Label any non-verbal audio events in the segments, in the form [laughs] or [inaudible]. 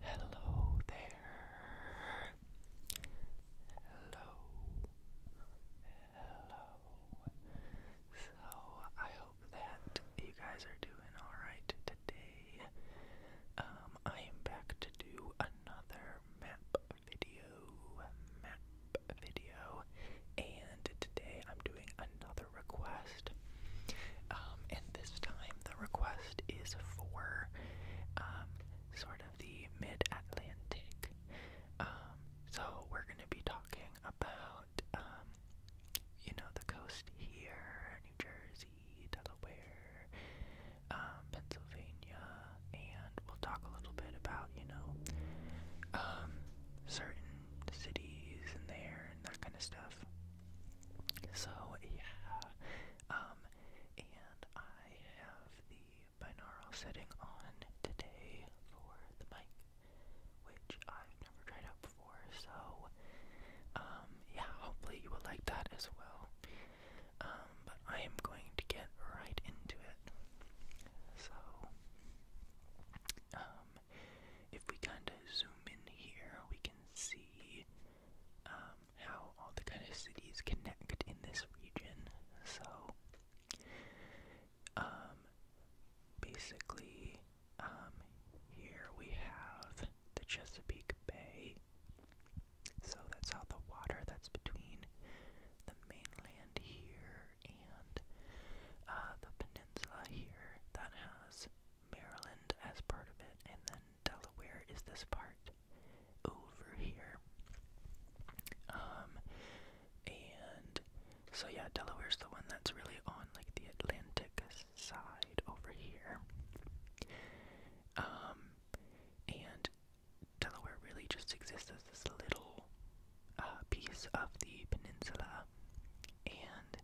Hello there. Hello. Hello. So, I hope that you guys are doing alright today. Um, I am back to do another map video. Map video. And today I'm doing another request. Um, and this time the request is for um, sort of the mid Atlantic. Um, so we're going to be talking about, you know, the coast here, New Jersey, Delaware, Pennsylvania, and we'll talk a little bit about, you know, certain cities and there and that kind of stuff. So yeah, um, and I have the binaural setting on today for the mic, which I've never tried out before. So um, yeah, hopefully you will like that as well. Um, but I am going to get right into it. So um, if we kind of zoom in here, we can see um, how all the kind of cities connect in this region. So, um, basically, um, here we have the Chesapeake Bay. So that's all the water that's between the mainland here and uh, the peninsula here that has Maryland as part of it, and then Delaware is this part over here. Um, and so yeah, Delaware's the one that's really on like the Atlantic side over here. Um, and Delaware really just exists as this little uh, piece of the peninsula, and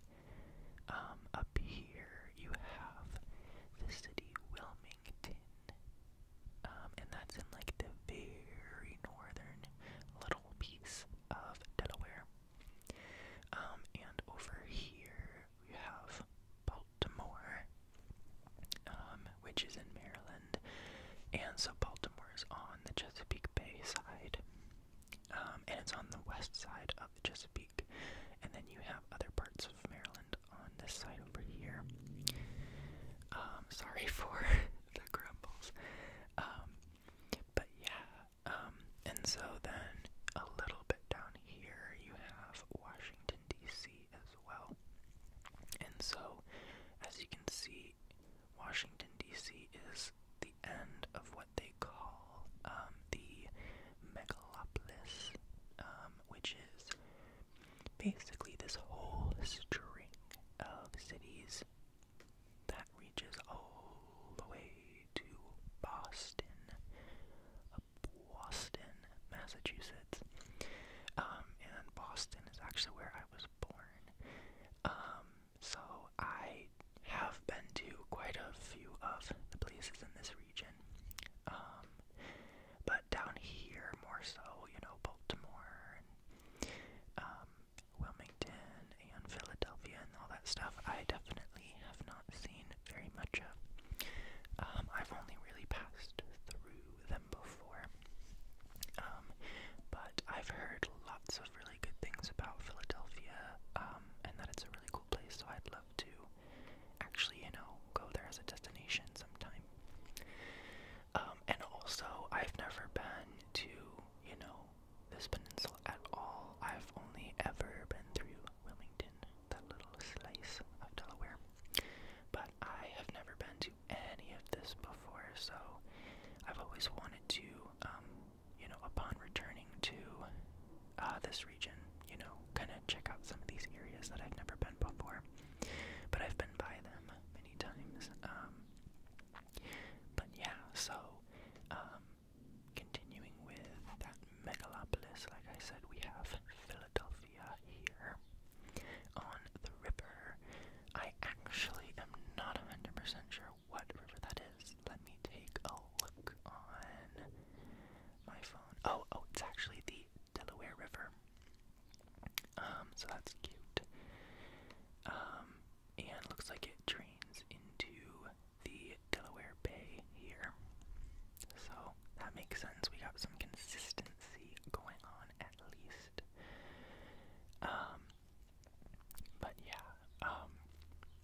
um, up here you have the city Wilmington. Um, and that's in like the very northern little piece of Delaware. Um, and over here we have Baltimore, which is in Maryland. And so Baltimore is on the Chesapeake Bay side. Um, and it's on the west side of the Chesapeake. And then you have other parts of Maryland on this side over here. Um, sorry [laughs] for the grumbles. Um, but yeah, and so then a little bit down here you have Washington, D.C. as well. And so, as you can see, Washington, D.C. is the the end of what they call um, the megalopolis, um, which is basically this whole string of cities that reaches all the way to Boston, Boston, Massachusetts. Um, and Boston is actually where I was born. Um, so I have been to quite a few of the places in this region. Um, but down here more so, you know, Baltimore and um, Wilmington and Philadelphia and all that stuff, I definitely have not seen very much of. Um, I've only really passed through them before. but I've heard lots of really good things about Philadelphia. Uh, um, and that it's a really cool place. So I'd love to actually, you know, go there as a destination sometime. Um, and also, I've never been to, you know, this peninsula at all. I've only ever been through Wilmington, that little slice of Delaware. But I have never been to any of this before, so I've always wanted to um, you know, upon returning to uh, this region, you know, kind of check out some of these areas that I've never been before. But I've been by them many times. Um, but yeah, so um, continuing with that megalopolis, like I said, we have Philadelphia here on the river. I actually am not a 100% sure what that is. Let me take a look on my phone. Oh, oh, it's actually the Delaware River. Um, so that's cute. Um, and looks like it drains into the Delaware Bay here. So that makes sense. We got some consistency going on at least. Um, but yeah, um,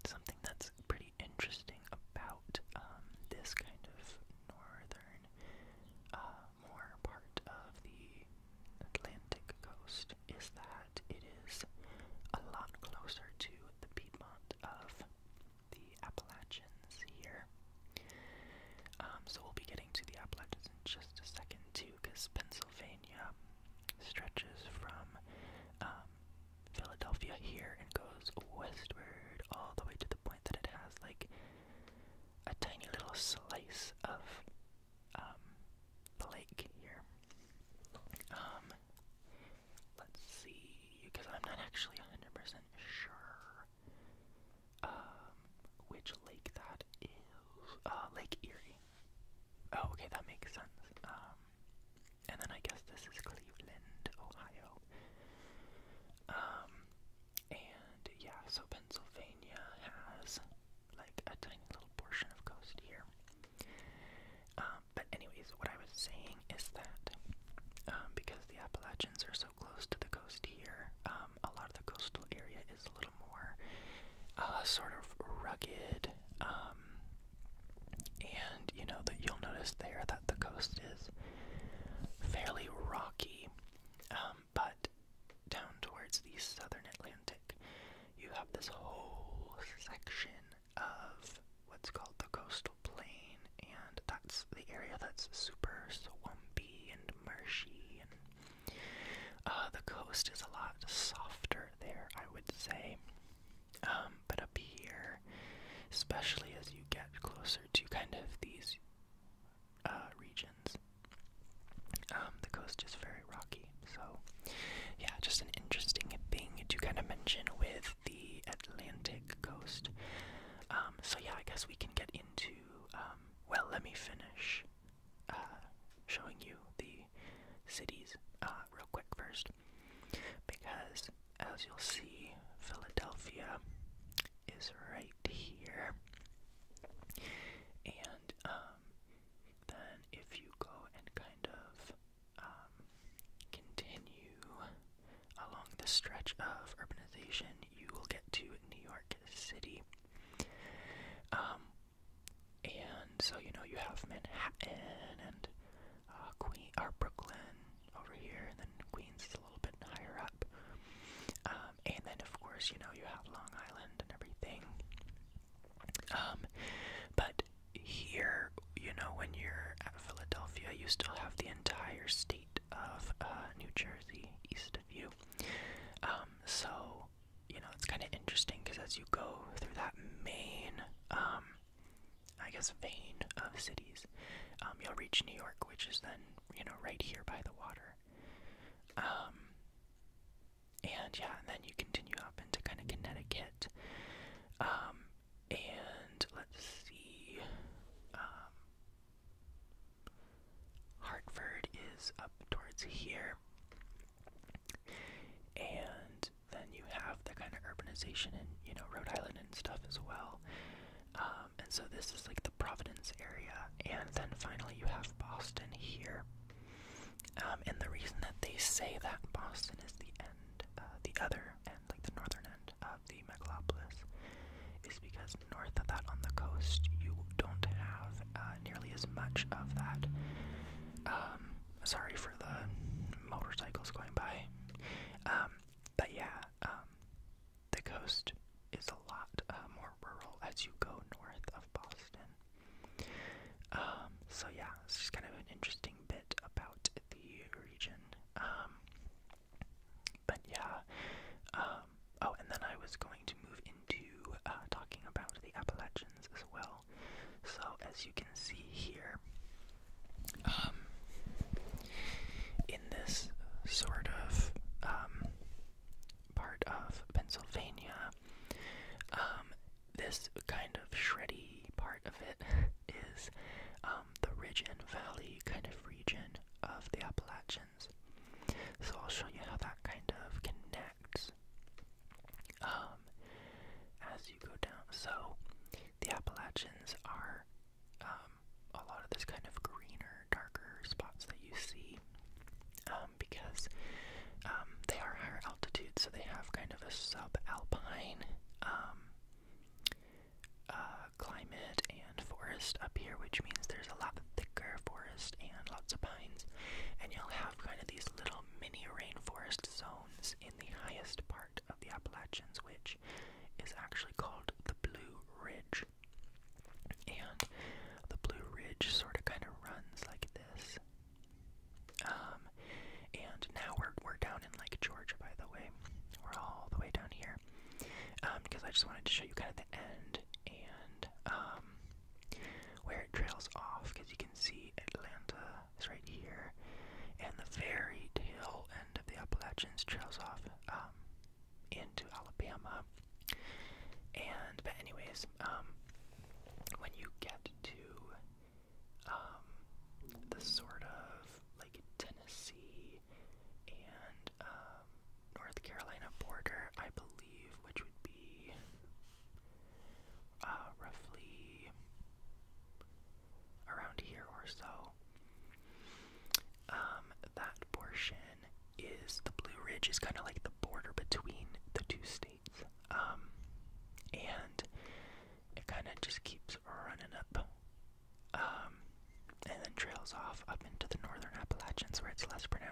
something that's pretty interesting about um, this kind of northern, uh, more part of the Atlantic coast is that it is a lot closer to the Piedmont of the Appalachians here. Um, so we'll be getting to the Appalachians in just a second too. Lucas, Pennsylvania, stretches from um, Philadelphia here and goes westward all the way to the point that it has like a tiny little slice of um, the lake here. Um, let's see, because I'm not actually 100% sure which lake that is. Uh, lake Erie. Oh, okay, that makes sense. Um, and then I guess this is Cleveland, Ohio. Um, and yeah, so Pennsylvania has like a tiny little portion of coast here. Um, but anyways, what I was saying is that um, because the Appalachians are so close to the coast here, um, a lot of the coastal area is more uh, sort of rugged. Um, and you know that you'll notice there that the coast is fairly rocky, um, but down towards the southern Atlantic, you have this whole section of what's called the coastal plain, and that's the area that's super swampy and marshy, and uh, the coast is a lot softer there, I would say. Um, but up here, especially as you get closer to kind of these uh, regions, um, the coast is very rocky. So, yeah, just an interesting thing to kind of mention with the Atlantic coast. Um, so, yeah, I guess we can get into. well, let me finish uh, showing you the cities uh, real quick first, because as you'll see, Philadelphia is right here, and um, then if you go and kind of um, continue along the stretch of urbanization, you will get to New York City. Um, and so you know you have Manhattan and uh, Queen or Brooklyn over here, and then Queens is a little bit higher up. Um, and then of course you know you have Long Island and everything. Um, but here you know when you're at Philadelphia, you still have the entire state of uh, New Jersey east of you. Um, so you know, it's kind of interesting because as you go through that main, um, I guess, vein of cities, um, you'll reach New York, which is then, you know, right here by the water. Um, and yeah, and then you continue up into kind of Connecticut. and let's see, Hartford is up towards here and then you have the kind of urbanization in you know Rhode Island and stuff as well. Um, and so this is like the Providence area, and then finally you have Boston here. Um, and the reason that they say that Boston is the end, uh, the other end, like the northern end of the megalopolis, is because north of that on the coast you don't have uh, nearly as much of that um, sorry for the motorcycles going by. Um, but yeah, um, the coast is a lot uh, more rural as you go north of Boston. so yeah, it's just kind of an interesting bit about the region. but yeah, oh, and then I was going to move into uh, talking about the Appalachians as well. So, as you can see here, um, in this sort of um, part of Pennsylvania, um, this kind of shreddy part of it [laughs] is the ridge and valley kind of region of the Appalachians. So I'll show you how that kind of connects um, as you go down. So the Appalachians are um, a lot of this kind of greener, darker spots that you see um, because they are higher altitudes, so they have kind of a subalpine um, uh, climate and forest up here, which means there's a lot thicker forest and lots of pines, and you'll have kind of these little mini rainforest zones in the highest part of the Appalachians, which is actually called the Blue Ridge. And the Blue Ridge sort of kind of runs like this. Um, and now we're, we're down in like Georgia, by the way. We're all the way down here. Um, because I just wanted to show you kind of the end and, um, where it trails off because you can see Atlanta is right here, and the very tail end of the Appalachians trails off um, into Alabama. And but anyways, um, when you get to um, the sort of like Tennessee and North Carolina border, I believe which would be uh, roughly around here or so. Um, that portion is the Blue Ridge is kind of like the border between the two states, um, and it kind of just keeps running up, um, and then trails off up into the northern Appalachians where it's less pronounced.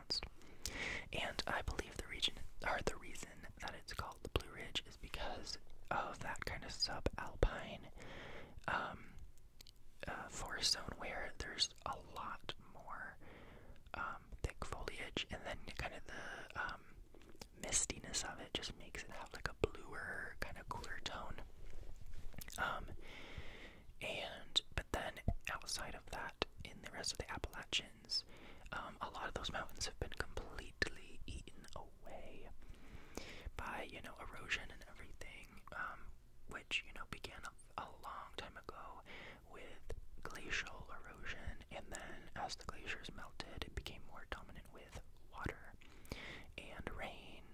And I believe the region, or the reason that it's called the Blue Ridge, is because of that kind of subalpine um, uh, forest zone where there's a lot more um, thick foliage, and then kind of the um, mistiness of it just makes it have like a bluer, kind of cooler tone. Um, and but then outside of that, in the rest of the Appalachian um, a lot of those mountains have been completely eaten away by, you know, erosion and everything, um, which, you know, began a, long time ago with glacial erosion, and then as the glaciers melted, it became more dominant with water and rain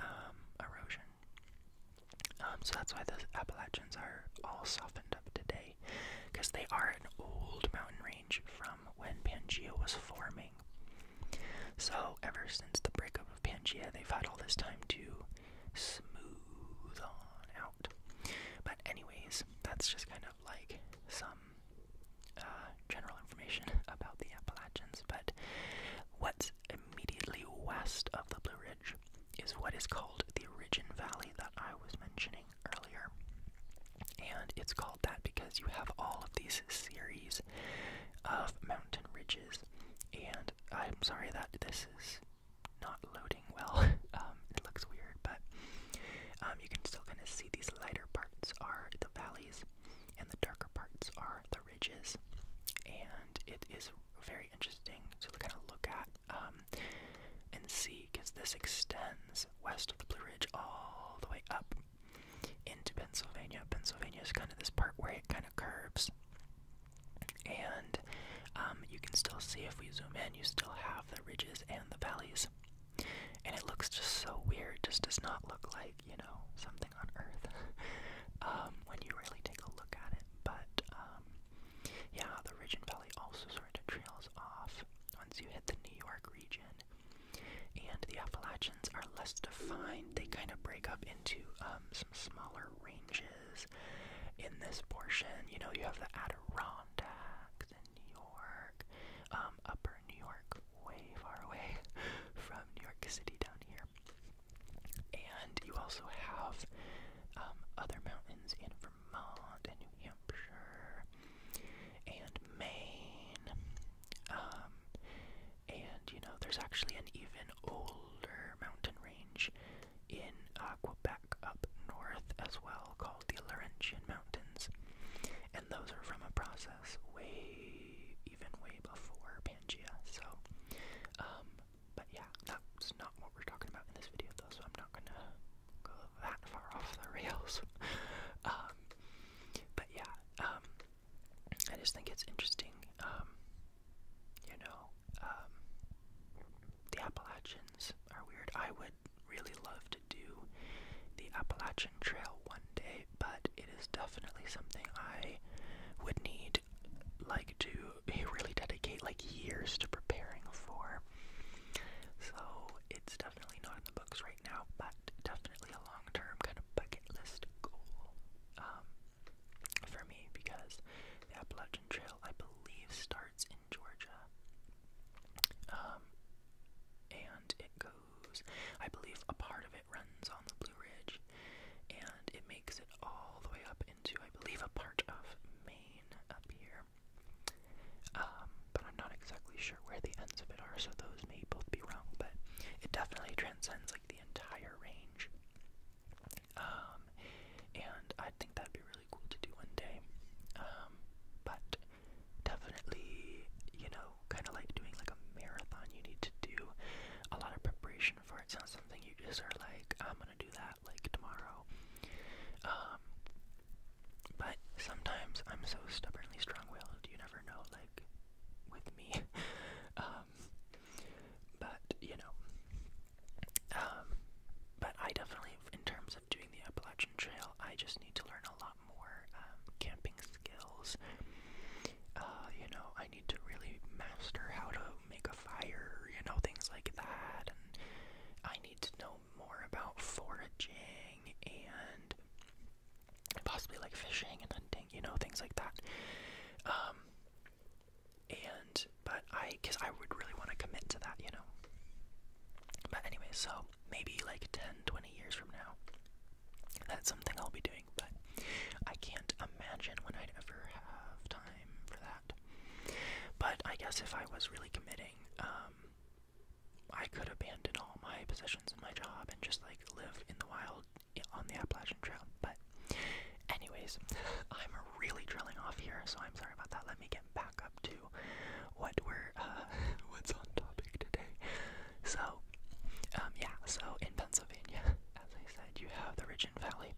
um, erosion. Um, so that's why the Appalachians are all softened up today, because they are an old mountain range from when Pangaea was forming. So ever since the breakup of Pangaea, they've had all this time to smooth on out. But anyways, that's just kind of like some uh, general information [laughs] about the Appalachians. But what's immediately west of the Blue Ridge is what is called the origin Valley that I was mentioning earlier. And it's called that because you have all of these series of mountain ridges. And I'm sorry that this is not loading well. [laughs] Um, it looks weird, but um, you can still kind of see these lighter parts are the valleys, and the darker parts are the ridges. And it is very interesting to kind of look at um, and C because this extends west of the Blue Ridge all the way up into Pennsylvania. Pennsylvania is kind of this part where it kind of curves, and um, you can still see if we zoom in, you still have the ridges and the valleys. And it looks just so weird, just does not look like, you know, something on Earth [laughs] um, when you really take a look at it. But yeah, the Ridge and Valley also sort of trails off once you hit the New York region. And the Appalachians are less defined. They kind of break up into um, some smaller ranges in this portion. You know, you have the Adirondacks in New York, um, Upper New York, way far away [laughs] from New York City down here. And you also have um, other mountains in Vermont and New Hampshire and Maine. Um, and you know, there's actually an even older mountain range in uh, Quebec up north as well called the Laurentian Mountains. And those are from a process way, even way before Pangea. So, um, but yeah, that's not what we're talking about in this video though, so I'm not gonna go that far off the rails. [laughs] Um, but yeah, um, I just think it's interesting, um, you know, the Appalachians are weird. I would really love to do the Appalachian Trail one day, but it is definitely something I would need like to really dedicate like years to preparing for. So it's definitely not in the books right now, but definitely a long term kind of bucket list goal um, for me because the Appalachian Trail, I believe, starts in Georgia. Um, and it goes, I believe a part of it runs on the Blue Ridge, and it makes it all the way up into, I believe, a part of Maine up here. Um, but I'm not exactly sure where the ends of it are, so those may both be wrong, but it definitely transcends like the entire range. Um, and I think that'd be really cool to do one day. Um, but definitely, you know, kind of like doing like a marathon, you need to do a lot of preparation for it. It's not something you just are like, oh, I'm gonna do that that like tomorrow. Um, but sometimes I'm so stubbornly strong-willed, you never know, like, with me. [laughs] um, but, you know, um, but I definitely, in terms of doing the Appalachian Trail, I just need to learn a lot more um, camping skills. Uh, you know, I need to really master how to make a fire, you know, things like that. And I need to know more about foraging and possibly like fishing and hunting, you know, things like that. Um, and but I guess I would really want to commit to that, you know. But anyway, so maybe like 10, 20 years from now, that's something I'll be doing, but I can't imagine when I'd ever have time for that. But I guess if I was really committing, um, I could abandon all my possessions and my job and just like live in the wild on the Appalachian Trail. But, anyways, [laughs] I'm really drilling off here, so I'm sorry about that. Let me get back up to what we're uh, [laughs] what's on topic today. So, um, yeah. So in Pennsylvania, [laughs] as I said, you have the Ridge and Valley.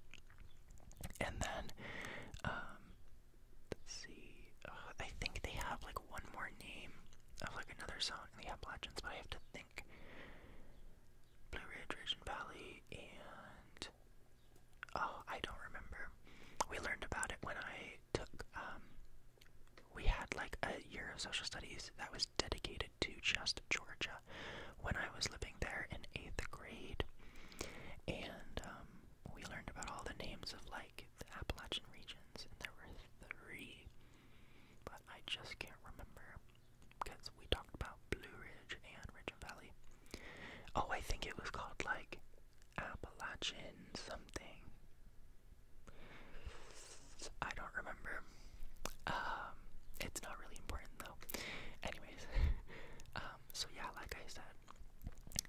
And then, um, let's see. I think they have like one more name of like another zone in the Appalachians, but I have to think. Blue Ridge, Ridge Valley, and oh, I don't remember. We learned about it when I took. Um, we had like a year of social studies that was dedicated to just Georgia, when I was living there in eighth grade, and um, we learned about all the names of like the Appalachian regions, and there were three, but I just can't remember because we talked about Blue Ridge and Ridge and Valley. Oh, I think it was called like Appalachian something. I don't remember. Um, it's not really important though. Anyways, [laughs] um, so yeah, like I said,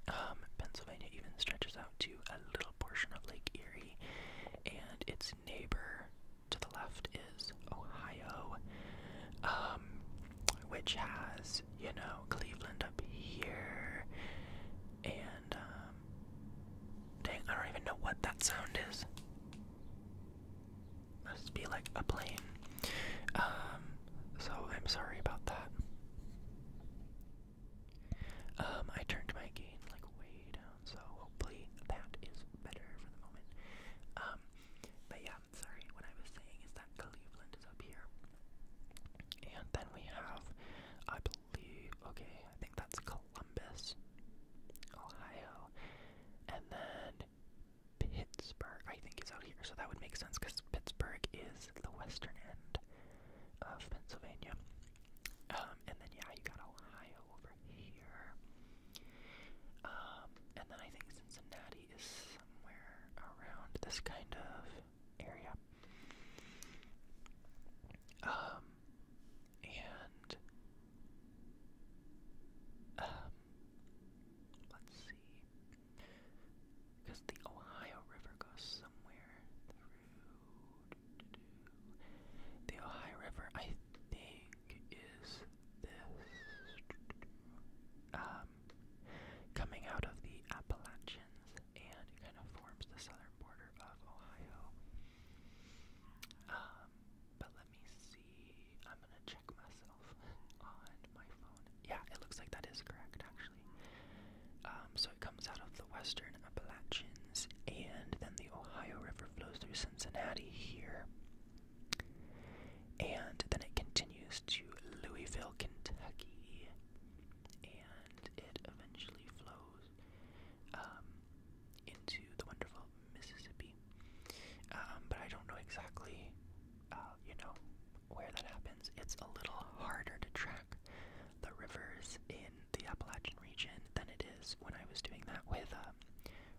um, Pennsylvania even stretches out to a little portion of Lake Erie, and its neighbor to the left is Ohio, um, which has, you know, Cleveland up here, and, dang, I don't even know what that sound is. Must be like a plane. Um, so I'm sorry about that. Um, I turned my gain like way down, so hopefully that is better for the moment. Um, but yeah, sorry, what I was saying is that Cleveland is up here. And then we have, I believe, okay, I think that's Columbus, Ohio. And then Pittsburgh, I think, is out here, so that would make sense because Pittsburgh is the western end of Pennsylvania. Um, and then, yeah, you got Ohio over here. Um, and then I think Cincinnati is somewhere around this kind of area. Um, and um, Let's see. Because the Ohio River goes somewhere through. The Ohio River, I think, is this. Um, coming out of the Appalachians and kind of forms the southern border of Ohio. Um, but let me see. I'm going to yeah, it looks like that is correct, actually. Um, so it comes out of the western Appalachians, and then the Ohio River flows through Cincinnati here. And then it continues to Louisville, Kentucky, and it eventually flows um, into the wonderful Mississippi. Um, but I don't know exactly, uh, you know, where that happens. It's a little harder to track the rivers in the Appalachian region than it is when I was doing that with um,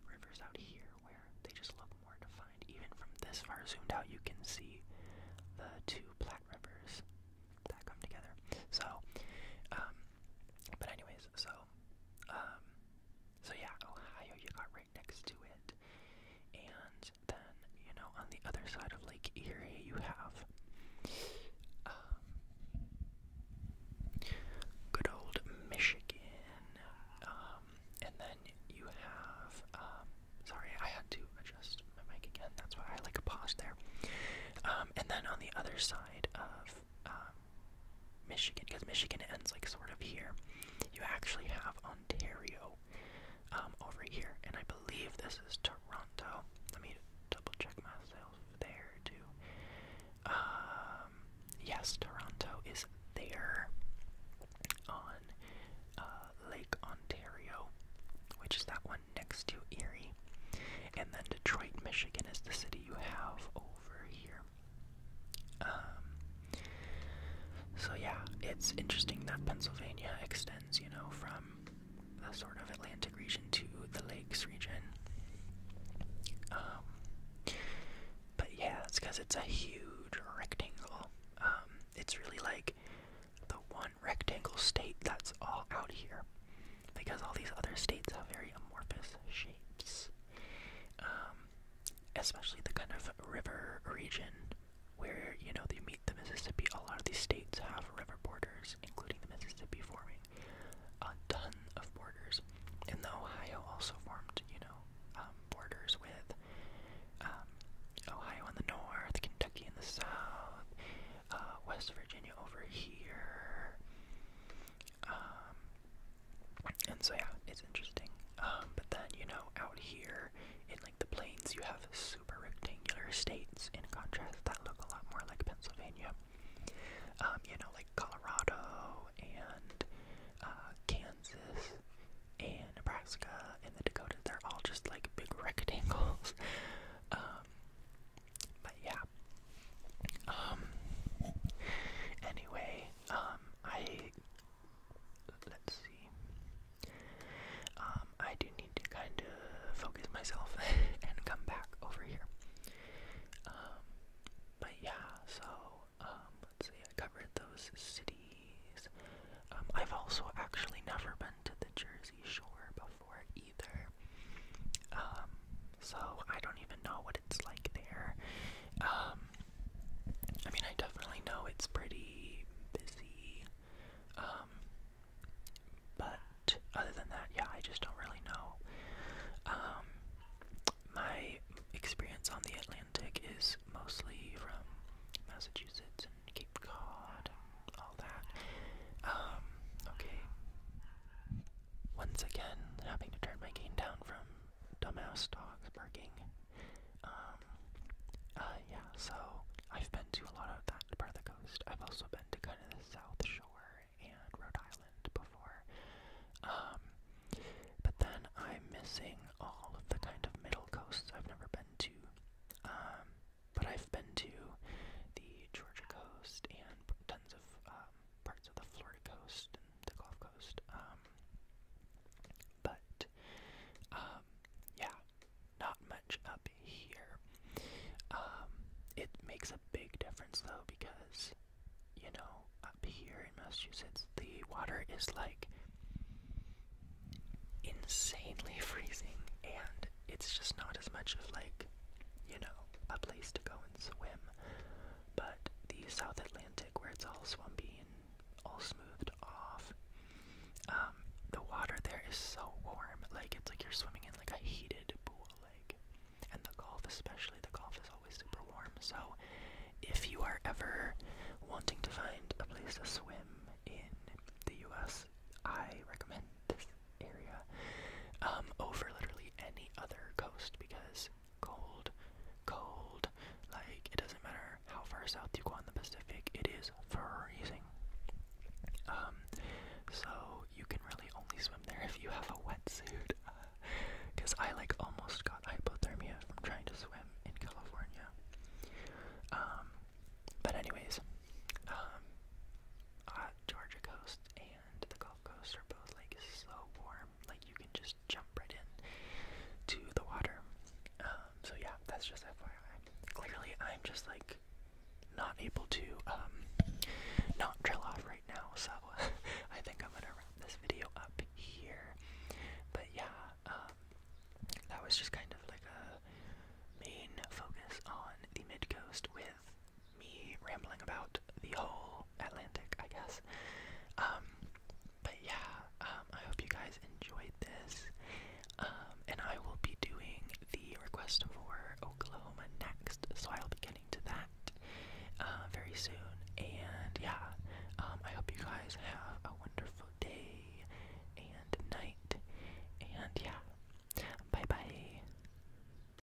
rivers out here, where they just look more defined. Even from this far zoomed out, you can see the two Platte rivers that come together. So, um, but anyways, so um, so yeah, Ohio, you got right next to it. And then, you know, on the other side of Lake Erie, you have um, good old Michigan. Um, and then you have, sorry, I had to adjust my mic again. That's why I like a there. and then on the other side of um, Michigan, because Michigan ends like sort of here, you actually have Ontario um, over here, and I believe this is Toronto. Let me double check myself there too. Um, yes, Toronto is there on uh, Lake Ontario, which is that one next to Erie. And then Detroit, Michigan is the city you have over here. Um, so yeah, it's interesting that Pennsylvania extends, you know, from the sort of Atlantic region to the Lakes region. Um, but yeah, it's because it's a huge rectangle. Um, it's really like the one rectangle state that's all out here, because all these other states have very amorphous shapes. Um, especially the kind of river region where you know they meet the Mississippi. A lot of these states have river borders, including the Mississippi forming a ton of borders, and the Ohio also formed you know um, borders with um, Ohio in the north, Kentucky in the south, uh, West Virginia over here. And so yeah, it's interesting. Um, but then you know, out here in like the plains, you have super rectangular states in contrast that look a lot more like Pennsylvania. Um, you know, like Colorado and uh, Kansas and Nebraska and the Dakotas. They're all just like big [laughs] rectangles. Um, but yeah, um, anyway, um, I, let's see, um, I do need to kind of focus myself [laughs] and come back over here. Um, but yeah, so, um, let's see, I covered those cities. Um, I've also actually never been to the Jersey Shore before either. Um, so I don't even know what what it's like there. Um, I mean, I definitely know it's pretty busy. Um, but other than that, yeah, I just don't really know. Um, my experience on the Atlantic is mostly from Massachusetts and Cape Cod and all that. Um, okay once again having to turn my game down from dumbass dogs barking. Um, uh, yeah, so I've been to a lot of that part of the coast. I've also been to kind of the South Shore and Rhode Island before. Um, but then I'm missing all of the kind of middle coasts I've never been to. Um, but I've been to the Georgia coast and tons of uh, um, parts of the Florida coast the Gulf Coast. Um, but um, yeah, not much up here. it makes a big difference though because you know up here in Massachusetts the water is like insanely [laughs] freezing and it's just not as much of like you know a place to go and swim but the South Atlantic, where it's all swampy and all smoothed off, um, the water there is so warm. Like it's like you're swimming in like a heated pool. Like, and the Gulf, especially the Gulf, is always super warm. So, if you are ever wanting to find a place to swim in the U.S., I recommend this area um, over literally any other coast because was cold, cold. Like, it doesn't matter how far south you go on the Pacific, it is freezing. Um, so you can really only swim there if you have a wetsuit. Because [laughs] I, like, almost got hypothermia from trying to swim in California. Um, but anyways, um, Georgia coast and the Gulf Coast are both like so warm, like you can just jump right in to the water. Um, so yeah, that's just FYI. Clearly, I'm just like not able to um, not drill off right now, so [laughs] I think I'm gonna wrap this video up here. But yeah, um, that was just kind of like a main focus on the mid coast with me rambling about the whole Atlantic, I guess. Um, but yeah, um, I hope you guys enjoyed this. Um, and I will be doing the request for Oklahoma next, so I'll be getting to that uh, very soon. And yeah, I hope you guys have a wonderful day and night. And yeah, bye bye.